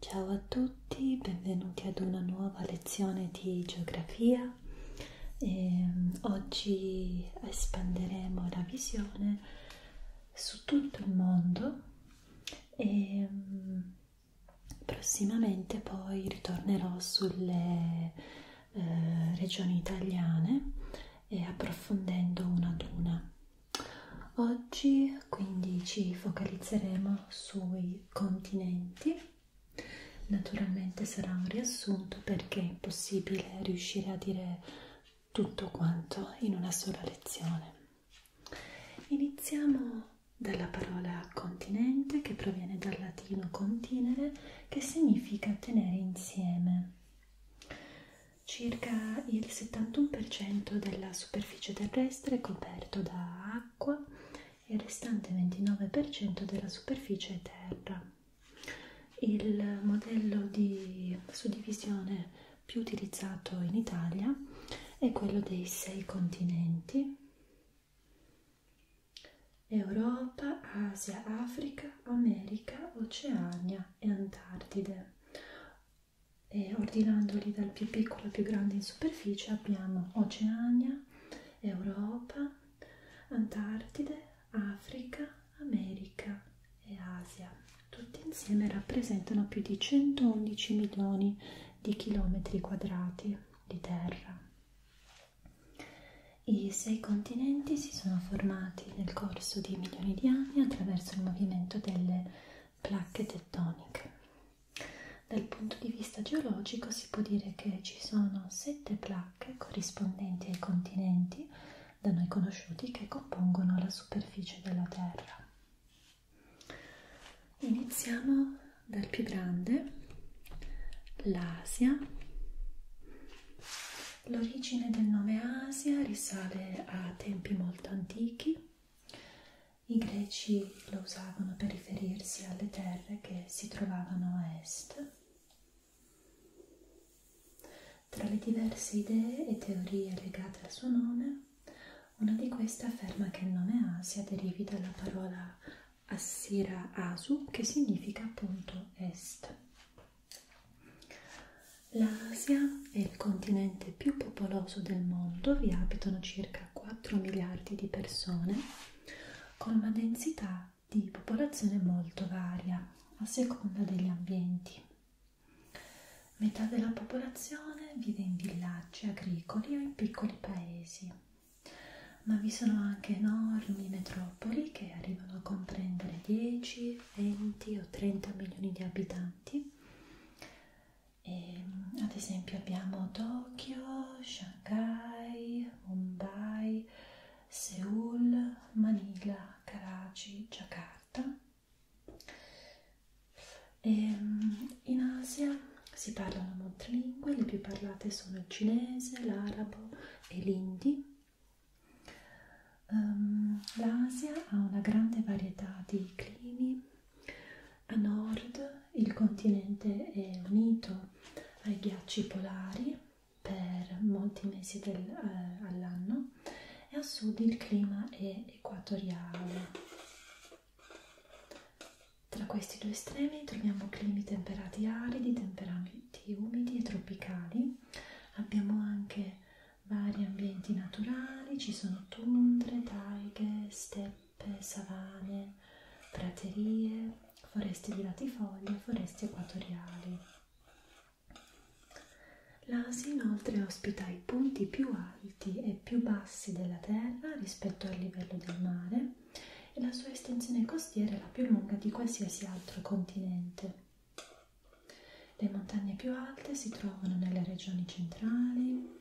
Ciao a tutti, benvenuti ad una nuova lezione di geografia. E ehm, oggi espanderemo la visione su tutto il mondo e ehm, prossimamente poi ritornerò sulle eh, regioni italiane eh, approfondendo una ad una. Oggi quindi ci focalizzeremo sui continenti, naturalmente sarà un riassunto perché è impossibile riuscire a dire tutto quanto in una sola lezione. Iniziamo dalla parola continente che proviene dal latino continere che significa tenere insieme. Circa il 71% della superficie terrestre terrestre è coperto da acqua e il restante 29% della superficie è terra. Il modello di suddivisione più utilizzato in Italia è quello dei sei continenti Europa, Asia, Africa, America, Oceania e Antartide e ordinandoli dal più piccolo al più grande in superficie abbiamo Oceania, Europa, Antartide, Africa, America e Asia. Tutti insieme rappresentano più di 111 milioni di chilometri quadrati di terra. I sei continenti si sono formati nel corso di milioni di anni attraverso il movimento delle placche tettoniche. Dal punto di vista geologico si può dire che ci sono sette placche corrispondenti ai continenti da noi conosciuti che compongono la superficie della Terra. Iniziamo dal più grande, l'Asia. L'origine del nome Asia risale a tempi molto antichi i greci lo usavano per riferirsi alle terre che si trovavano a est. Tra le diverse idee e teorie legate al suo nome, una di queste afferma che il nome Asia derivi dalla parola Assira Asu, che significa appunto est. L'Asia è il continente più popoloso del mondo, vi abitano circa 4 miliardi di persone, con una densità di popolazione molto varia a seconda degli ambienti. Metà della popolazione vive in villaggi agricoli o in piccoli paesi, ma vi sono anche enormi metropoli che arrivano a comprendere 10, 20 o 30 milioni di abitanti e, ehm, ad esempio abbiamo Tokyo, Shanghai, Mumbai, Seoul, Manila, Karachi, Jakarta. E, ehm, in Asia si parlano molte lingue, le più parlate sono il cinese, l'arabo e l'indi. Um, ehm, L'Asia ha una grande varietà di climi a nord il continente è unito ai ghiacci polari per molti mesi del, eh, all'anno e a sud il clima è equatoriale. Tra questi due estremi troviamo climi temperati aridi, temperati umidi e tropicali. Abbiamo anche vari ambienti naturali, ci sono tundre, taighe, steppe, savane, praterie, foreste di latifoglie, foreste equatoriali. L'Asia inoltre ospita i punti più alti e più bassi della terra rispetto al livello del mare e la sua estensione costiera è la più lunga di qualsiasi altro continente. Le montagne più alte si trovano nelle regioni centrali.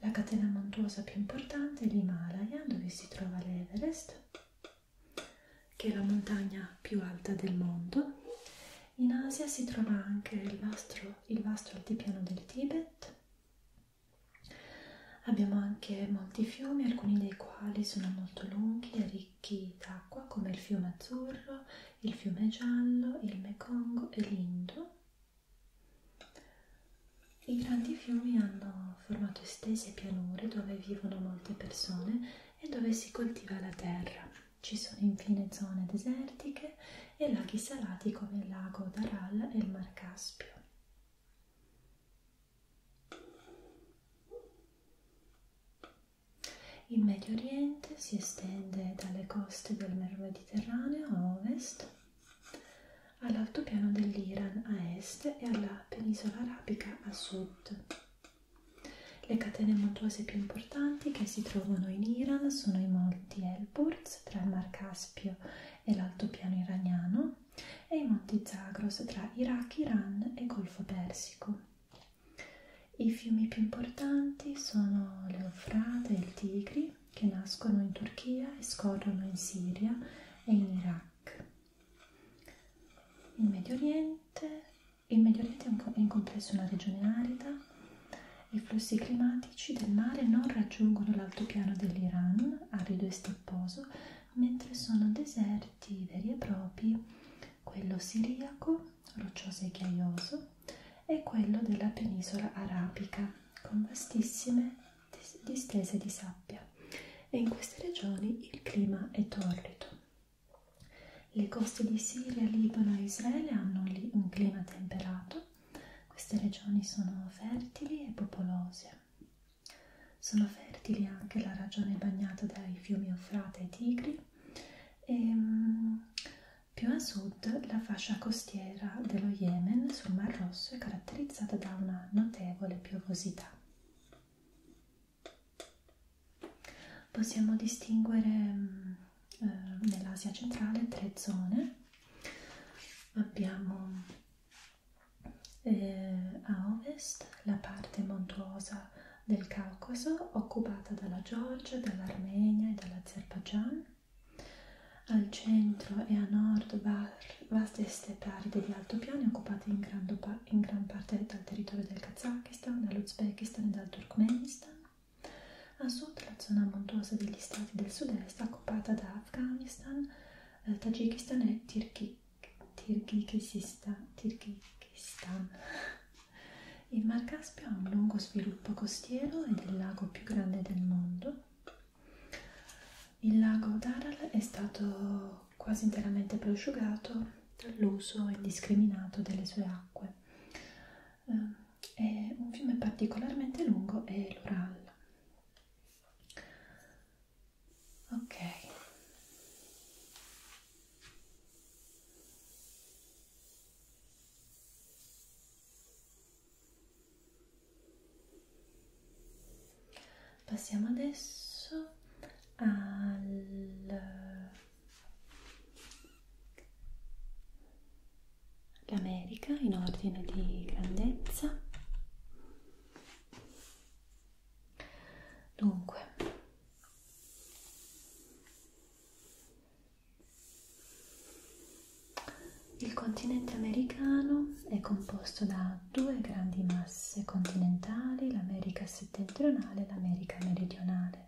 La catena montuosa più importante è l'Himalaya, dove si trova l'Everest, che è la montagna più alta del mondo. In Asia si trova anche il vasto, il vasto altipiano del Tibet. Abbiamo anche molti fiumi, alcuni dei quali sono molto lunghi e ricchi d'acqua, come il fiume Azzurro, il fiume giallo, il Mekong e l'Indo. I grandi fiumi hanno formato estese pianure dove vivono molte persone e dove si coltiva la terra. Ci sono infine zone desertiche e laghi salati come il lago d'Aral e il Mar Caspio. In Medio Oriente si estende dalle coste del Mar Mediterraneo a ovest all'altopiano dell'Iran a est e alla penisola arabica a sud. Le catene montuose più importanti che si trovano in Iran sono i monti Elburz tra il Mar Caspio e l'altopiano iraniano e i monti Zagros tra Iraq, Iran e Golfo Persico. I fiumi più importanti sono l'Eufrate e il Tigri, che nascono in Turchia e scorrono in Siria e in Iraq. Il Medio Oriente, il Medio Oriente è in complesso una regione arida, i flussi climatici del mare non raggiungono l'altopiano dell'Iran, arido e stepposo, mentre sono deserti veri e propri quello siriaco, roccioso e ghiaioso, è quello della penisola arabica, con vastissime distese di sabbia e in queste regioni il clima è torrido. Le coste di Siria, Libano e Israele hanno un clima temperato, queste regioni sono fertili e popolose. Sono fertili anche la regione bagnata dai fiumi Eufrate e Tigri e ehm, più a sud la fascia costiera dello Yemen sul Mar Rosso è caratterizzata da una notevole piovosità. Possiamo distinguere mm, eh, nell'Asia centrale tre zone. Abbiamo eh, a ovest la parte montuosa del Caucaso occupata dalla Georgia, dall'Armenia e dall'Azerbaigian. Al centro e a nord vaste steppe aride di altopiani occupate in gran, in gran parte dal territorio del Kazakistan, dall'Uzbekistan e dal Turkmenistan. A sud la zona montuosa degli stati del sud-est occupata da Afghanistan, eh, Tagikistan e Tirkikistan. Tirkikistan. Il Mar Caspio ha un lungo sviluppo costiero ed è il lago più grande del mondo. Il lago d'Aral è stato quasi interamente prosciugato dall'uso indiscriminato delle sue acque. Eh, è un fiume particolarmente lungo è l'Ural. Ok. Passiamo adesso all'America in ordine di grandezza. Dunque, il continente americano è composto da due grandi masse continentali, l'America settentrionale e l'America meridionale.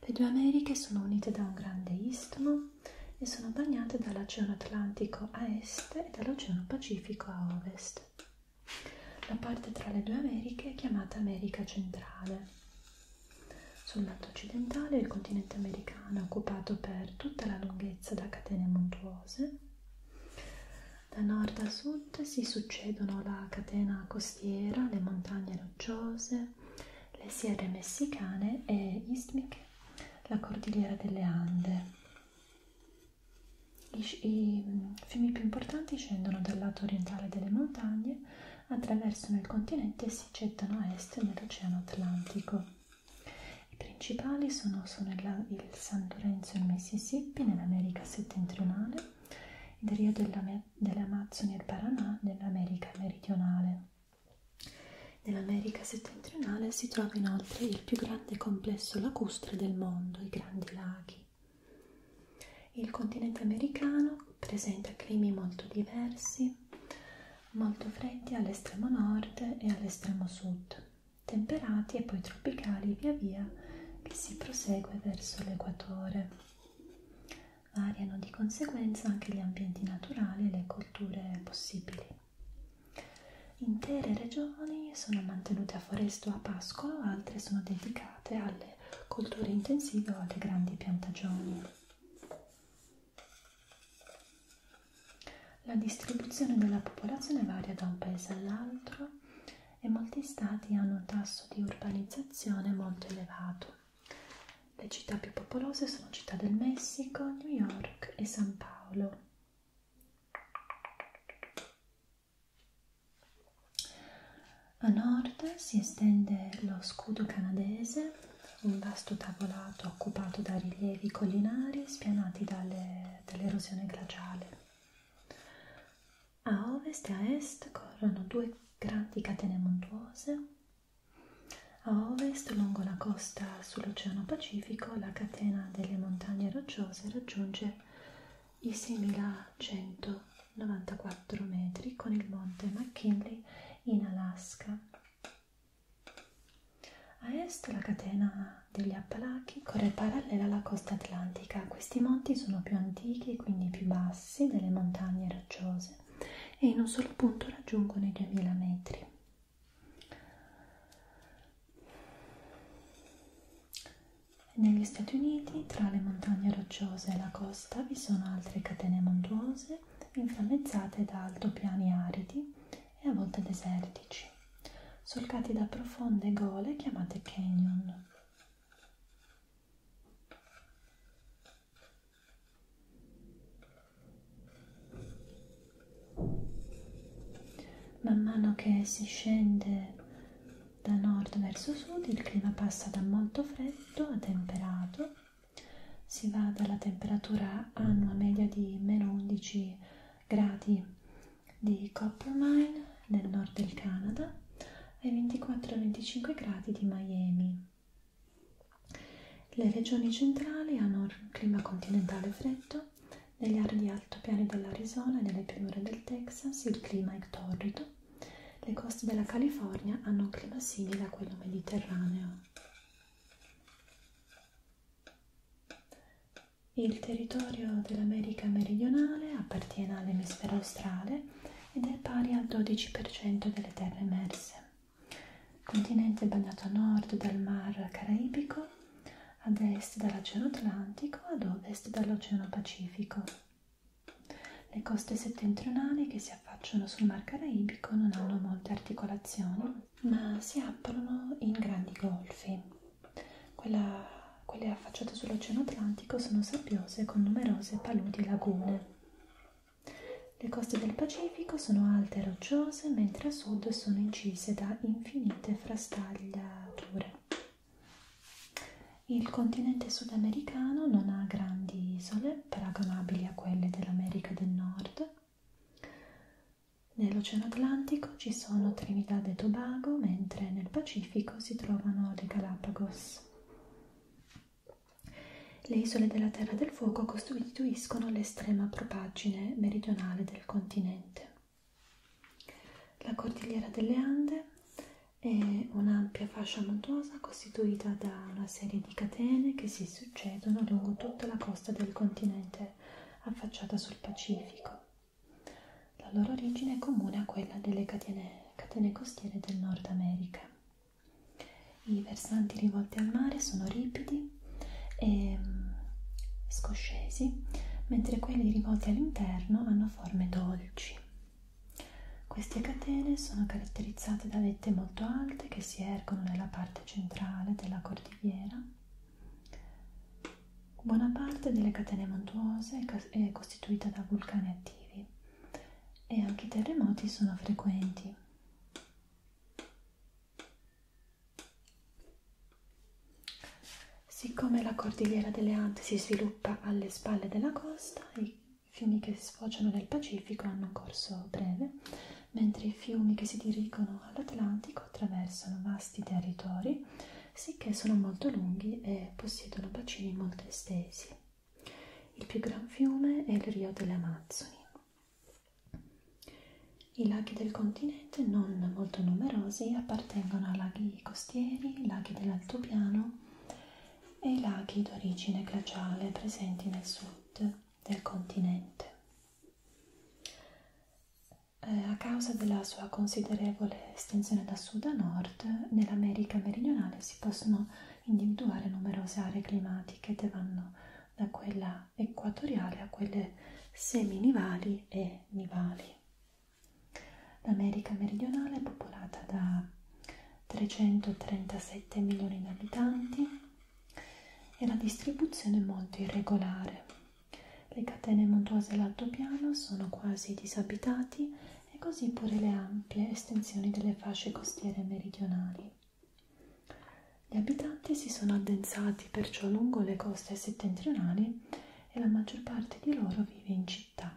Le due Americhe sono unite da un grande istmo e sono bagnate dall'Oceano Atlantico a est e dall'Oceano Pacifico a ovest. La parte tra le due Americhe è chiamata America centrale. Sul lato occidentale il continente americano è occupato per tutta la lunghezza da catene montuose. Da nord a sud si succedono la catena costiera, le montagne rocciose, le sierre messicane e istmiche, la cordigliera delle Ande. I, I fiumi più importanti scendono dal lato orientale delle montagne attraversano il continente e si gettano a est nell'Oceano Atlantico. I principali sono, sono il, il San Lorenzo e il Mississippi nell'America settentrionale, il Rio dell'Amazzoni e il Paranà nell'America meridionale. Nell'America settentrionale si trova inoltre il più grande complesso lacustre del mondo, i Grandi Laghi. Il continente americano presenta climi molto diversi, molto freddi all'estremo nord e all'estremo sud, temperati e poi tropicali via via che si prosegue verso l'equatore. Variano di conseguenza anche gli ambienti naturali e le colture possibili. Intere regioni sono mantenute a foresto o a pascolo, altre sono dedicate alle le colture intensive o alle grandi piantagioni. La distribuzione della popolazione varia da un paese all'altro e molti stati hanno un tasso di urbanizzazione molto elevato. Le città più popolose sono Città del Messico, New York e San Paolo. A nord si estende lo scudo canadese, un vasto tavolato occupato da rilievi collinari spianati dall'erosione dall glaciale. A ovest e a est corrono due grandi catene montuose. A ovest, lungo la costa sull'Oceano Pacifico, la catena delle montagne rocciose raggiunge i 6.000 194 metri con il monte McKinley in Alaska. A est la catena degli Appalachi corre parallela alla costa atlantica. Questi monti sono più antichi e quindi più bassi delle montagne rocciose e in un solo punto raggiungono i 2000 metri. Negli Stati Uniti, tra le montagne rocciose e la costa costa vi sono altre catene montuose inframmezzate da altopiani aridi e a volte desertici, solcati da profonde gole chiamate canyon. Man mano che si scende da nord verso sud il clima passa da molto freddo a temperato, si va dalla temperatura annua media di meno 11 gradi di Coppermine nel nord del Canada ai 24-25 gradi di Miami. Le regioni centrali hanno un clima continentale freddo, negli aree di altopiani dell'Arizona e nelle pianure del Texas il clima è torrido, le coste della California hanno un clima simile a quello mediterraneo. Il territorio dell'America meridionale appartiene all'emisfero australe ed è pari al 12% delle terre emerse. Continente bagnato a nord dal Mar Caraibico, ad est dall'Oceano Atlantico, ad ovest dall'Oceano Pacifico. Le coste settentrionali che si affacciano sul Mar Caraibico non hanno molte articolazioni, ma si aprono in grandi golfi. Quella, quelle affacciate sull'Oceano Atlantico sono sabbiose con numerose paludi e lagune. Le coste del Pacifico sono alte e rocciose, mentre a sud sono incise da infinite frastagliature. Il continente sudamericano non ha grandi isole paragonabili a quelle dell'America del Nord. Nell'Oceano Atlantico ci sono Trinidad e Tobago, mentre nel Pacifico si trovano le Galapagos. Le isole della Terra del Fuoco costituiscono l'estrema propaggine meridionale del continente. La cordigliera delle Ande è un'ampia fascia montuosa costituita da una serie di catene che si succedono lungo tutta la costa del continente affacciata sul Pacifico. La loro origine è comune a quella delle catene, catene costiere del Nord America. I versanti rivolti al mare sono ripidi e mm, scoscesi, mentre quelli rivolti all'interno hanno forme dolci. Queste catene sono caratterizzate da vette molto alte che si ergono nella parte centrale della cordigliera. Buona parte delle catene montuose è costituita da vulcani attivi e anche i terremoti sono frequenti. Siccome la cordigliera delle Ande si sviluppa alle spalle della costa, i fiumi che sfociano nel Pacifico hanno un corso breve, mentre i fiumi che si dirigono all'Atlantico attraversano vasti territori, sicché sono molto lunghi e possiedono bacini molto estesi. Il più gran fiume è il Rio delle Amazzoni. I laghi del continente, non molto numerosi, appartengono a laghi costieri, laghi dell'altopiano e i laghi d'origine glaciale presenti nel sud del continente. Eh, a causa della sua considerevole estensione da sud a nord, nell'America meridionale si possono individuare numerose aree climatiche che vanno da quella equatoriale a quelle seminivali e nivali. L'America meridionale è popolata da 337 milioni di abitanti e la distribuzione è molto irregolare. Le catene montuose dell'altopiano sono quasi disabitati e così pure le ampie estensioni delle fasce costiere meridionali. Gli abitanti si sono addensati perciò lungo le coste settentrionali e la maggior parte di loro vive in città.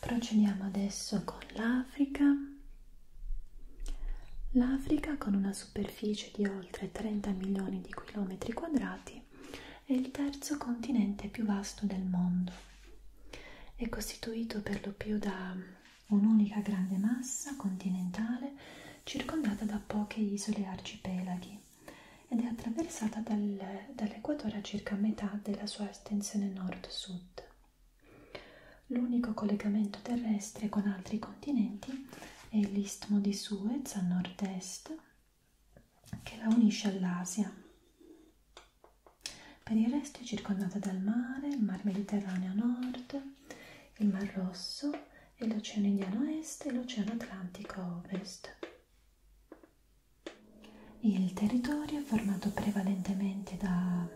Procediamo adesso con l'Africa. L'Africa con una superficie di oltre 30 milioni di chilometri quadrati è il terzo continente più vasto del mondo. È costituito per lo più da un'unica grande massa continentale circondata da poche isole e arcipelaghi ed è attraversata dal, dall'equatore a circa metà della sua estensione nord-sud. L'unico collegamento terrestre con altri continenti è l'istmo di Suez a nord-est che la unisce all'Asia. Per il resto è circondata dal mare, il mar Mediterraneo a nord, il Mar Rosso e l'Oceano Indiano a Est e l'Oceano Atlantico a Ovest. Il territorio è formato prevalentemente da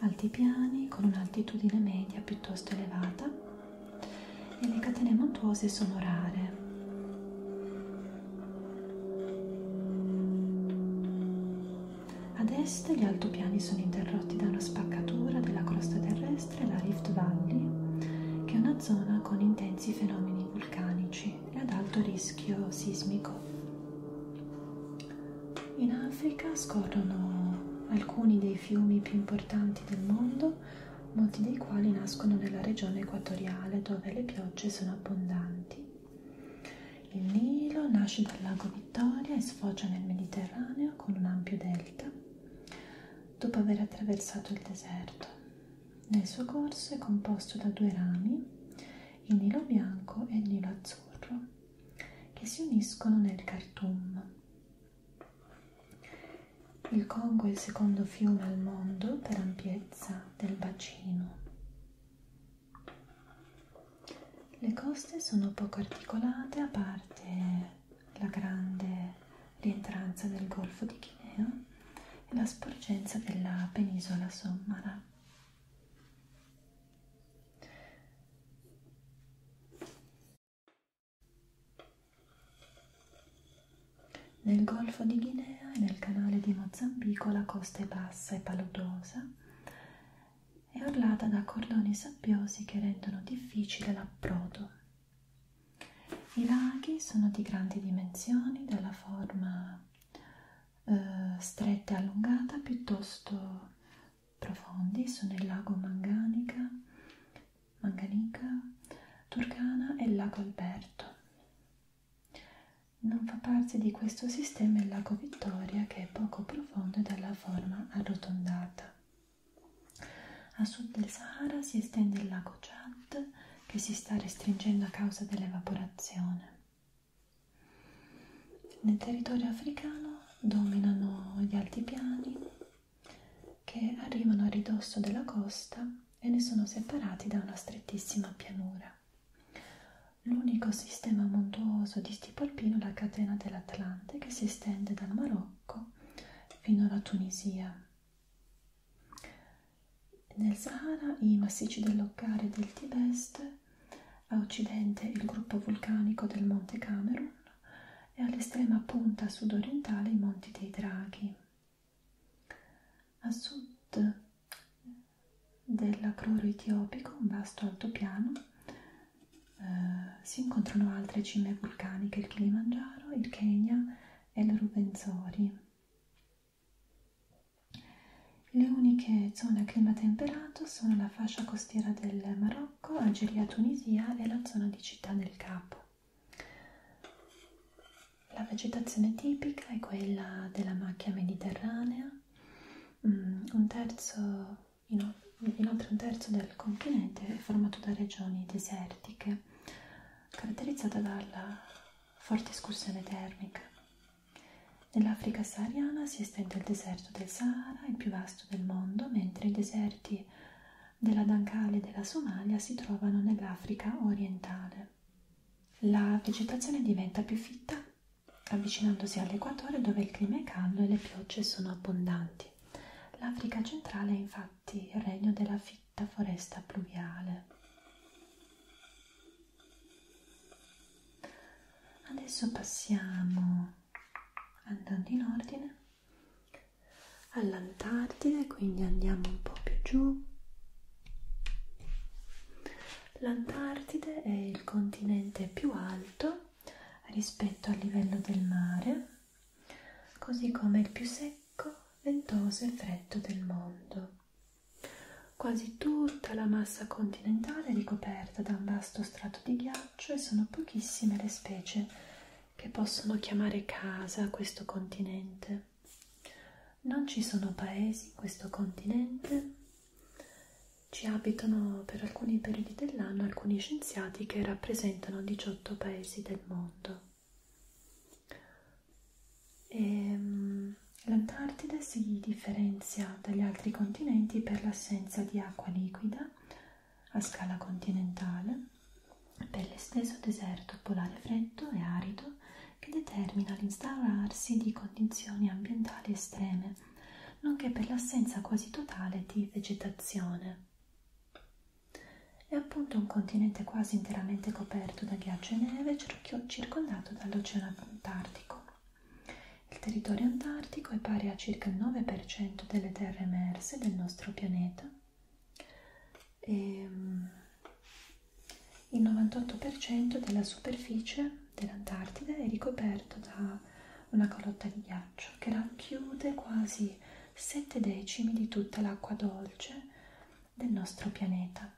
altipiani con un'altitudine media piuttosto elevata e le catene montuose sono rare. Ad est gli altopiani sono interrotti da una spaccatura della crosta terrestre terrestre la Rift Valley, che è una zona con intensi fenomeni vulcanici e ad alto rischio sismico. In Africa scorrono alcuni dei fiumi più importanti del mondo, molti dei quali nascono nella regione equatoriale dove le piogge sono abbondanti. Il Nilo nasce dal lago Vittoria e sfocia nel Mediterraneo con un ampio delta dopo aver attraversato il deserto. Nel suo corso è composto da due rami, il Nilo bianco e il Nilo azzurro, che si uniscono nel Khartoum. Il Congo è il secondo fiume al mondo per ampiezza del bacino. Le coste sono poco articolate a parte la grande rientranza del Golfo di Guinea e la sporgenza della penisola Sommara. Nel Golfo di Guinea e nel canale di Mozambico la costa è bassa e paludosa e orlata da cordoni sabbiosi che rendono difficile l'approdo. I laghi sono di grandi dimensioni, dalla forma eh, stretta e allungata, piuttosto profondi, sono il lago Manganica, Manganica, Turcana e il lago Alberto. Non fa parte di questo sistema il lago Vittoria che è poco profondo e dalla forma arrotondata. A sud del Sahara si estende il lago Chad che si sta restringendo a causa dell'evaporazione. Nel territorio africano dominano gli altipiani che arrivano a ridosso della costa e ne sono separati da una strettissima pianura. L'unico sistema montuoso di tipo alpino è la catena dell'Atlante che si estende dal Marocco Marocco fino alla Tunisia. Nel Sahara i massicci dell'Occare e del Tibest, a occidente il gruppo vulcanico del Monte Camerun e all'estrema punta sudorientale i Monti dei Draghi. A sud dell'Acroro Etiopico, un vasto altopiano eh, si incontrano altre cime vulcaniche, il Kilimangiaro, il Kenya e il Rubenzori. Le uniche zone a clima temperato sono la fascia costiera del Marocco, Algeria, Tunisia e la zona di Città del Capo. La vegetazione tipica è quella della macchia mediterranea, mm, un terzo Inoltre un terzo del continente è formato da regioni desertiche, caratterizzata dalla forte escursione termica. Nell'Africa sahariana si estende il deserto del Sahara, il più vasto del mondo, mentre i deserti della Dankali e della Somalia si trovano nell'Africa orientale. La vegetazione diventa più fitta avvicinandosi all'equatore dove il clima è caldo e le piogge sono abbondanti. L'Africa centrale è infatti il regno della fitta foresta pluviale. Adesso passiamo, andando in ordine, all'Antartide, quindi andiamo un po' più giù. L'Antartide è il continente più alto rispetto al livello del mare così come il più secco, ventoso e freddo del mondo. Quasi tutta la massa continentale è ricoperta da un vasto strato di ghiaccio e sono pochissime le specie che possono chiamare casa questo continente. Non ci sono paesi in questo continente, ci abitano per alcuni periodi dell'anno alcuni scienziati stati che rappresentano 18 paesi del mondo. Ehm, L'Antartide si differenzia dagli altri continenti per l'assenza di acqua liquida a scala continentale, per l'esteso deserto polare freddo e arido che determina l'instaurarsi di condizioni ambientali estreme, nonché per l'assenza quasi totale di vegetazione. È appunto un continente quasi interamente coperto da ghiaccio e neve, circondato dall'Oceano Antartico. Il territorio antartico è pari a circa il 9% delle terre emerse del nostro pianeta e ehm, il 98% della superficie dell'Antartide è ricoperto da una calotta di ghiaccio che racchiude quasi sette decimi di tutta l'acqua dolce del nostro pianeta.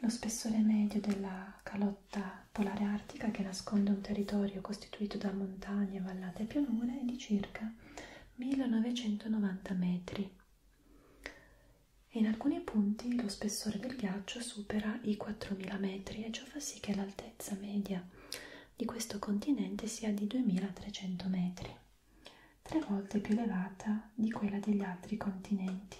Lo spessore medio della calotta polare artica che nasconde un territorio costituito da montagne, vallate e pianure è di circa 1990 metri. In alcuni punti lo spessore del ghiaccio supera i 4000 metri e ciò fa sì che l'altezza media di questo continente sia di 2300 metri, tre volte più elevata di quella degli altri continenti.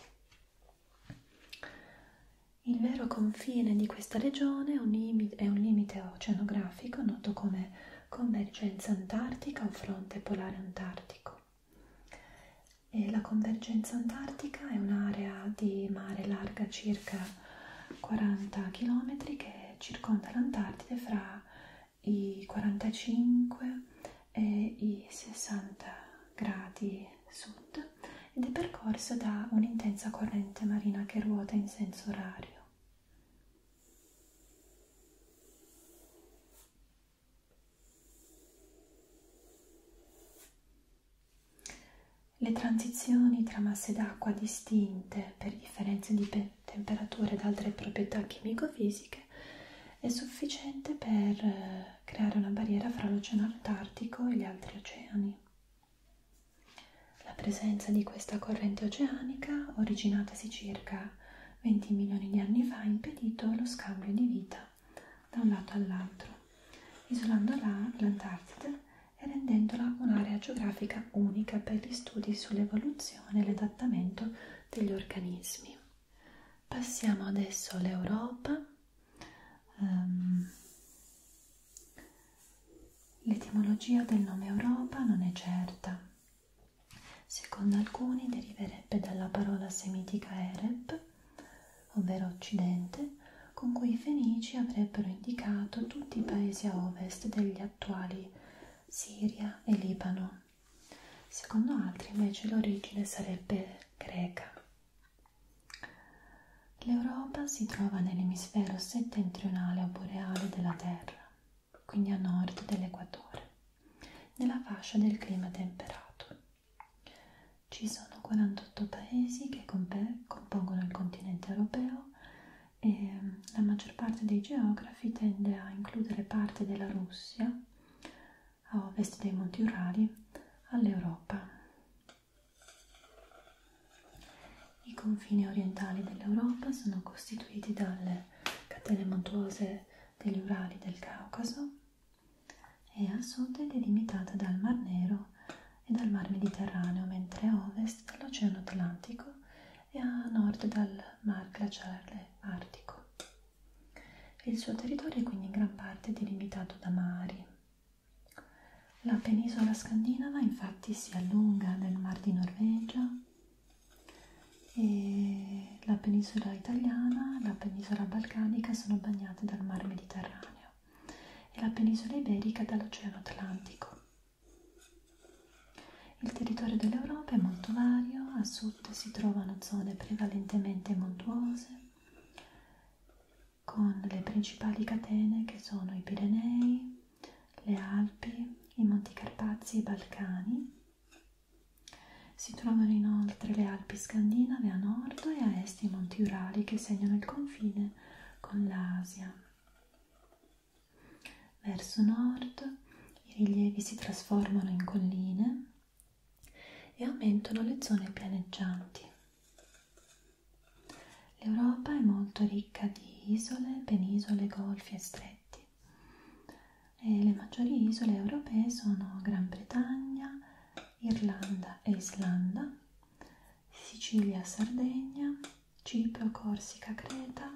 Il vero confine di questa regione è un limite, è un limite oceanografico noto come convergenza antartica o fronte polare antartico. E la convergenza antartica è un'area di mare larga circa 40 km che circonda l'Antartide fra i 45 e i 60 gradi sud ed è percorsa da un'intensa corrente marina che ruota in senso orario. Le transizioni tra masse d'acqua distinte per differenze di temperatura ed altre proprietà chimico-fisiche è sufficiente per eh, creare una barriera fra l'Oceano Antartico e gli altri oceani. La presenza di questa corrente oceanica, originatasi circa 20 milioni di anni fa, ha impedito lo scambio di vita da un lato all'altro, isolando l'Antartide e rendendola un'area geografica unica per gli studi sull'evoluzione e l'adattamento degli organismi. Passiamo adesso all'Europa. Um, L'etimologia del nome Europa non è certa. Secondo alcuni deriverebbe dalla parola semitica Ereb, ovvero Occidente, con cui i Fenici avrebbero indicato tutti i paesi a ovest degli attuali Siria e Libano. Secondo altri invece l'origine sarebbe greca. L'Europa si trova nell'emisfero settentrionale o boreale della Terra, quindi a nord dell'equatore, nella fascia del clima temperato. Ci sono 48 paesi che compongono il continente europeo e mm, la maggior parte dei geografi tende a includere parte della Russia, a ovest dei Monti Urali, all'Europa. I confini orientali dell'Europa sono costituiti dalle catene montuose degli Urali del Caucaso e a sud è delimitata dal Mar Nero e dal Mar Mediterraneo, mentre a ovest dall'Oceano Atlantico e a nord dal Mar Glaciale Artico. Il suo territorio è quindi in gran parte delimitato da mari. La penisola scandinava infatti si allunga nel Mar di Norvegia e la penisola italiana, la penisola balcanica sono bagnate dal Mar Mediterraneo e la penisola iberica dall'Oceano Atlantico. Il territorio dell'Europa è molto vario, a sud si trovano zone prevalentemente montuose, con le principali catene che sono i Pirenei, le Alpi, i Monti Carpazi e i Balcani. Si trovano inoltre le Alpi scandinave a nord e a est i Monti Urali che segnano il confine con l'Asia. Verso nord i rilievi si trasformano in colline e aumentano le zone pianeggianti. L'Europa è molto ricca di isole, penisole, golfi e stretti. E le maggiori isole europee sono Gran Bretagna, Irlanda e Islanda, Sicilia, Sardegna, Cipro, Corsica, Creta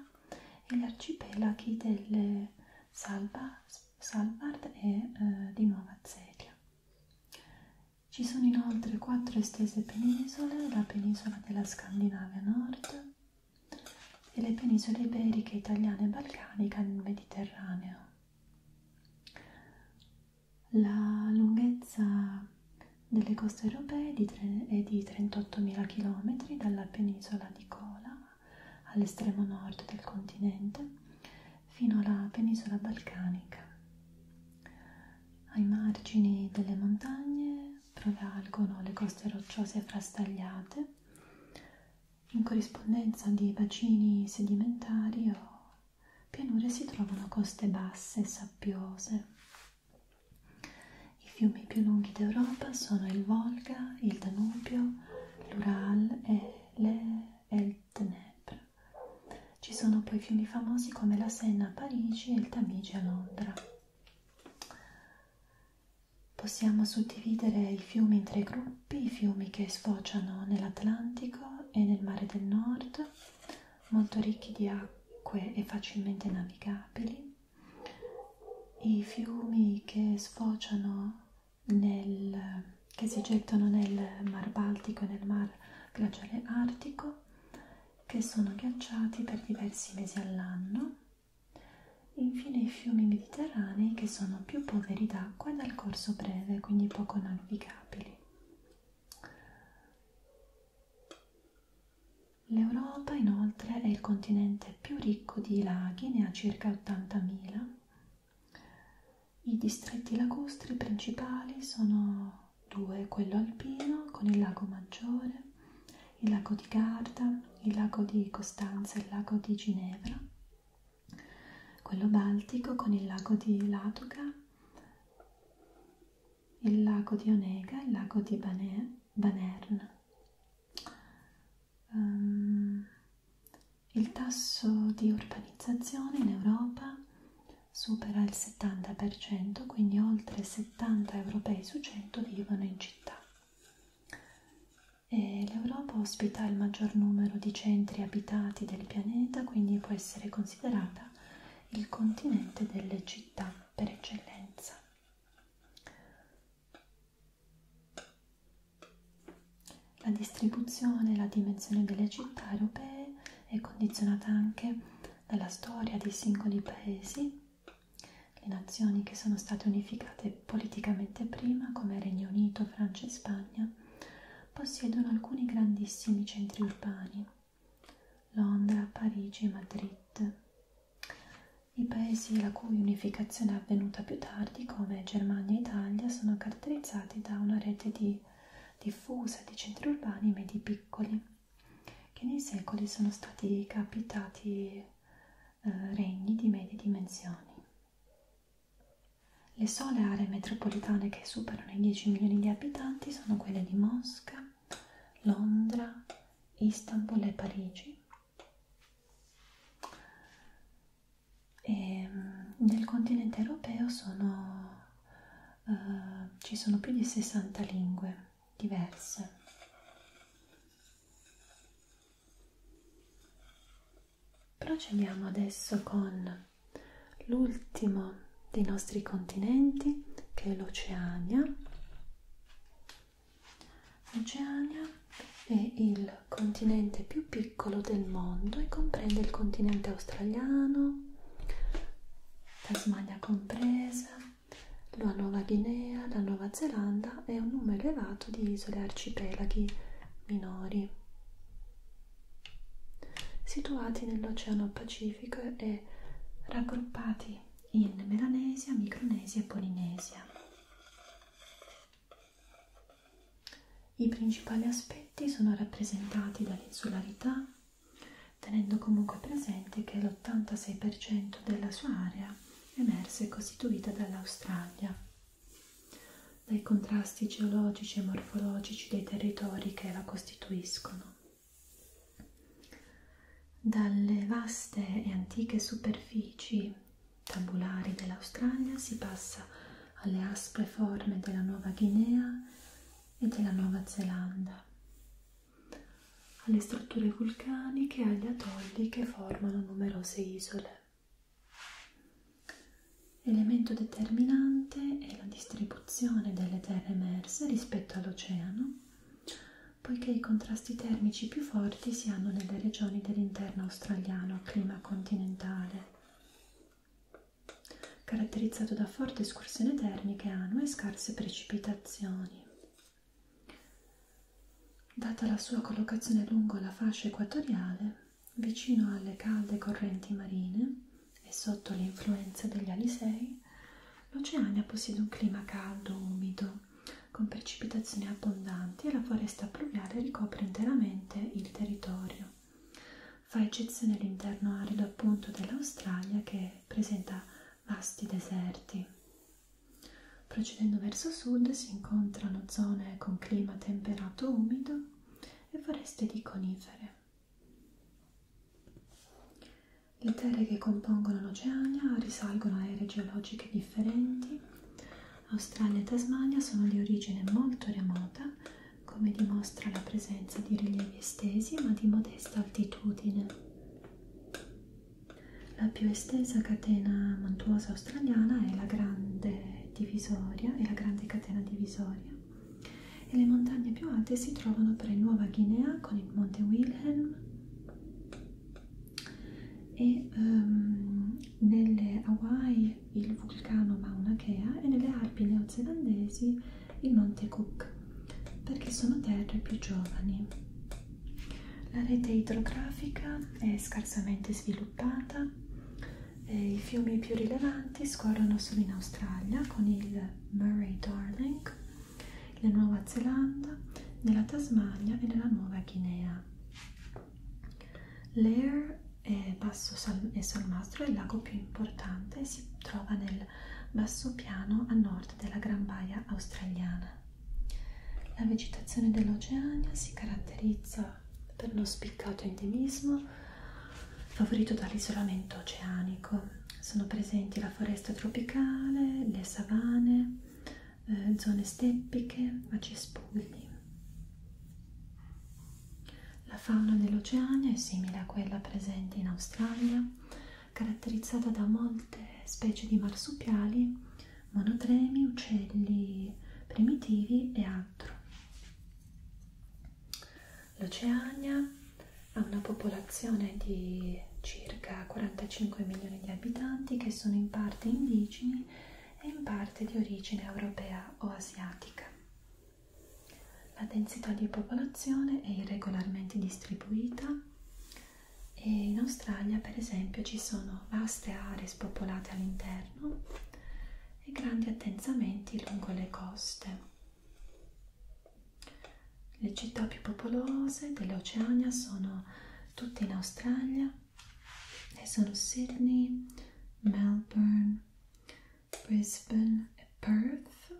e gli arcipelaghi delle Salva, Salvard e eh, di Nuova Zelia. Ci sono inoltre quattro estese penisole, la penisola della Scandinavia Nord e le penisole iberiche, italiane e balcanica nel Mediterraneo. La lunghezza delle coste europee è di 38.000 km dalla penisola di Kola all'estremo nord del continente fino alla penisola balcanica. Ai margini delle montagne prevalgono le coste rocciose frastagliate in corrispondenza di bacini sedimentari o pianure si trovano coste basse e sabbiose. I fiumi più lunghi d'Europa sono il Volga, il Danubio, l'Ural e l'Eltenebre. Ci sono poi fiumi famosi come la Senna a Parigi e il Tamigi a Londra. Possiamo suddividere i fiumi in tre gruppi, i fiumi che sfociano nell'Atlantico e nel Mare del Nord, molto ricchi di acque e facilmente navigabili, i fiumi che sfociano nel, che si gettano nel Mar Baltico e nel Mar Glaciale Artico, che sono ghiacciati per diversi mesi all'anno, infine i fiumi mediterranei che sono più poveri d'acqua e dal corso breve, quindi poco navigabili. L'Europa inoltre è il continente più ricco di laghi, ne ha circa 80.000. I distretti lacustri principali sono due, quello alpino con il lago Maggiore, il lago di Garda, il lago di Costanza e il lago di Ginevra, quello baltico con il lago di Ladoga il lago di Onega, il lago di Bane, Banern. Um, il tasso di urbanizzazione in Europa supera il 70%, quindi oltre 70 europei su 100 vivono in città. L'Europa ospita il maggior numero di centri abitati del pianeta, quindi può essere considerata il continente delle città per eccellenza. La distribuzione e la dimensione delle città europee è condizionata anche dalla storia dei singoli paesi, le nazioni che sono state unificate politicamente prima, come Regno Unito, Francia e Spagna, possiedono alcuni grandissimi centri urbani Londra, Parigi e Madrid, i paesi la cui unificazione è avvenuta più tardi, come Germania e Italia, sono caratterizzati da una rete di diffusa di centri urbani medi piccoli, che nei secoli sono stati capitati eh, regni di medie dimensioni. Le sole aree metropolitane che superano superano i 10 milioni di abitanti sono quelle di Mosca, Londra, Istanbul e Parigi. E mm, nel continente europeo sono, uh, ci sono più di 60 lingue diverse. Procediamo adesso con l'ultimo dei nostri continenti che è l'Oceania. L'Oceania è il continente più piccolo del mondo e comprende il continente australiano, Tasmania compresa, la Nuova Guinea, la Nuova Zelanda e un numero elevato di isole e arcipelaghi minori situati nell'Oceano Pacifico e raggruppati in Melanesia, Micronesia e Polinesia. I principali aspetti sono rappresentati dall'insularità, tenendo comunque presente che l'86% della sua area emersa è costituita dall'Australia. Dai contrasti geologici e morfologici dei territori che la costituiscono. Dalle vaste e antiche superfici tabulari dell'Australia si passa alle aspre forme della Nuova Guinea e della Nuova Zelanda, alle strutture vulcaniche e agli atolli che formano numerose isole. Elemento determinante è la distribuzione distribuzione delle terre emerse rispetto all'oceano, poiché i contrasti termici più forti si hanno nelle regioni dell'interno australiano a clima continentale, caratterizzato da forti escursioni termiche annue e scarse precipitazioni. Data la sua collocazione lungo la fascia equatoriale, vicino alle calde correnti marine, e sotto l'influenza degli alisei, l'Oceania possiede un clima caldo, umido, con precipitazioni abbondanti e la foresta pluviale ricopre interamente il territorio. Fa eccezione l'interno arido appunto dell'Australia che presenta vasti deserti. Procedendo verso sud si incontrano zone con clima temperato umido e foreste di conifere. Le terre che compongono l'Oceania risalgono a ere geologiche differenti. Australia e Tasmania sono di origine molto remota, come dimostra la presenza di rilievi estesi ma di modesta altitudine. La più estesa catena montuosa australiana è la Grande Divisoria, è la Grande Catena Divisoria. E le montagne più alte si trovano per il Nuova Guinea con il Monte Wilhelm e um, nelle Hawaii il vulcano Mauna Kea e nelle Alpi neozelandesi il Monte Cook perché sono terre più giovani. La rete idrografica è scarsamente sviluppata e i fiumi più rilevanti scorrono solo in Australia con il del Murray-Darling, la Nuova Zelanda, nella Tasmania e nella Nuova Guinea. L'Air e Basso Sal e Solmastro è il lago più importante e si trova nel basso piano a nord della Gran Baia australiana. La vegetazione dell'Oceania si caratterizza per uno spiccato endemismo favorito dall'isolamento oceanico. Sono presenti la foresta tropicale, le savane, eh, zone steppiche, ma cespugli. La fauna dell'Oceania è simile a quella presente in Australia, caratterizzata da molte specie di marsupiali, monotremi, uccelli primitivi e altro. L'Oceania ha una popolazione di circa 45 milioni di abitanti che sono in parte indigeni e in parte di origine europea o asiatica. La densità di popolazione è irregolarmente distribuita e in Australia per esempio ci sono vaste aree spopolate all'interno e grandi attensamenti lungo le coste. Le città più popolose dell'Oceania sono tutte in Australia e sono Sydney, Melbourne, Brisbane e Perth.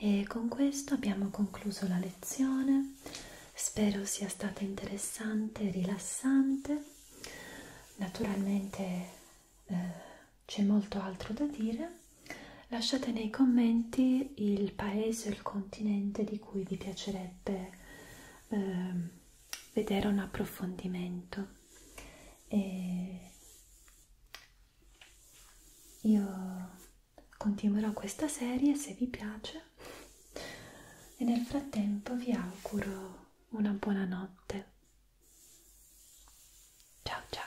E con questo abbiamo concluso la lezione. Spero sia stata interessante e rilassante. Naturalmente eh, c'è molto altro da dire. Lasciate nei commenti il paese o il continente di cui vi piacerebbe eh, vedere un approfondimento. E io continuerò questa serie se vi piace e nel frattempo vi auguro una buona notte. Ciao ciao!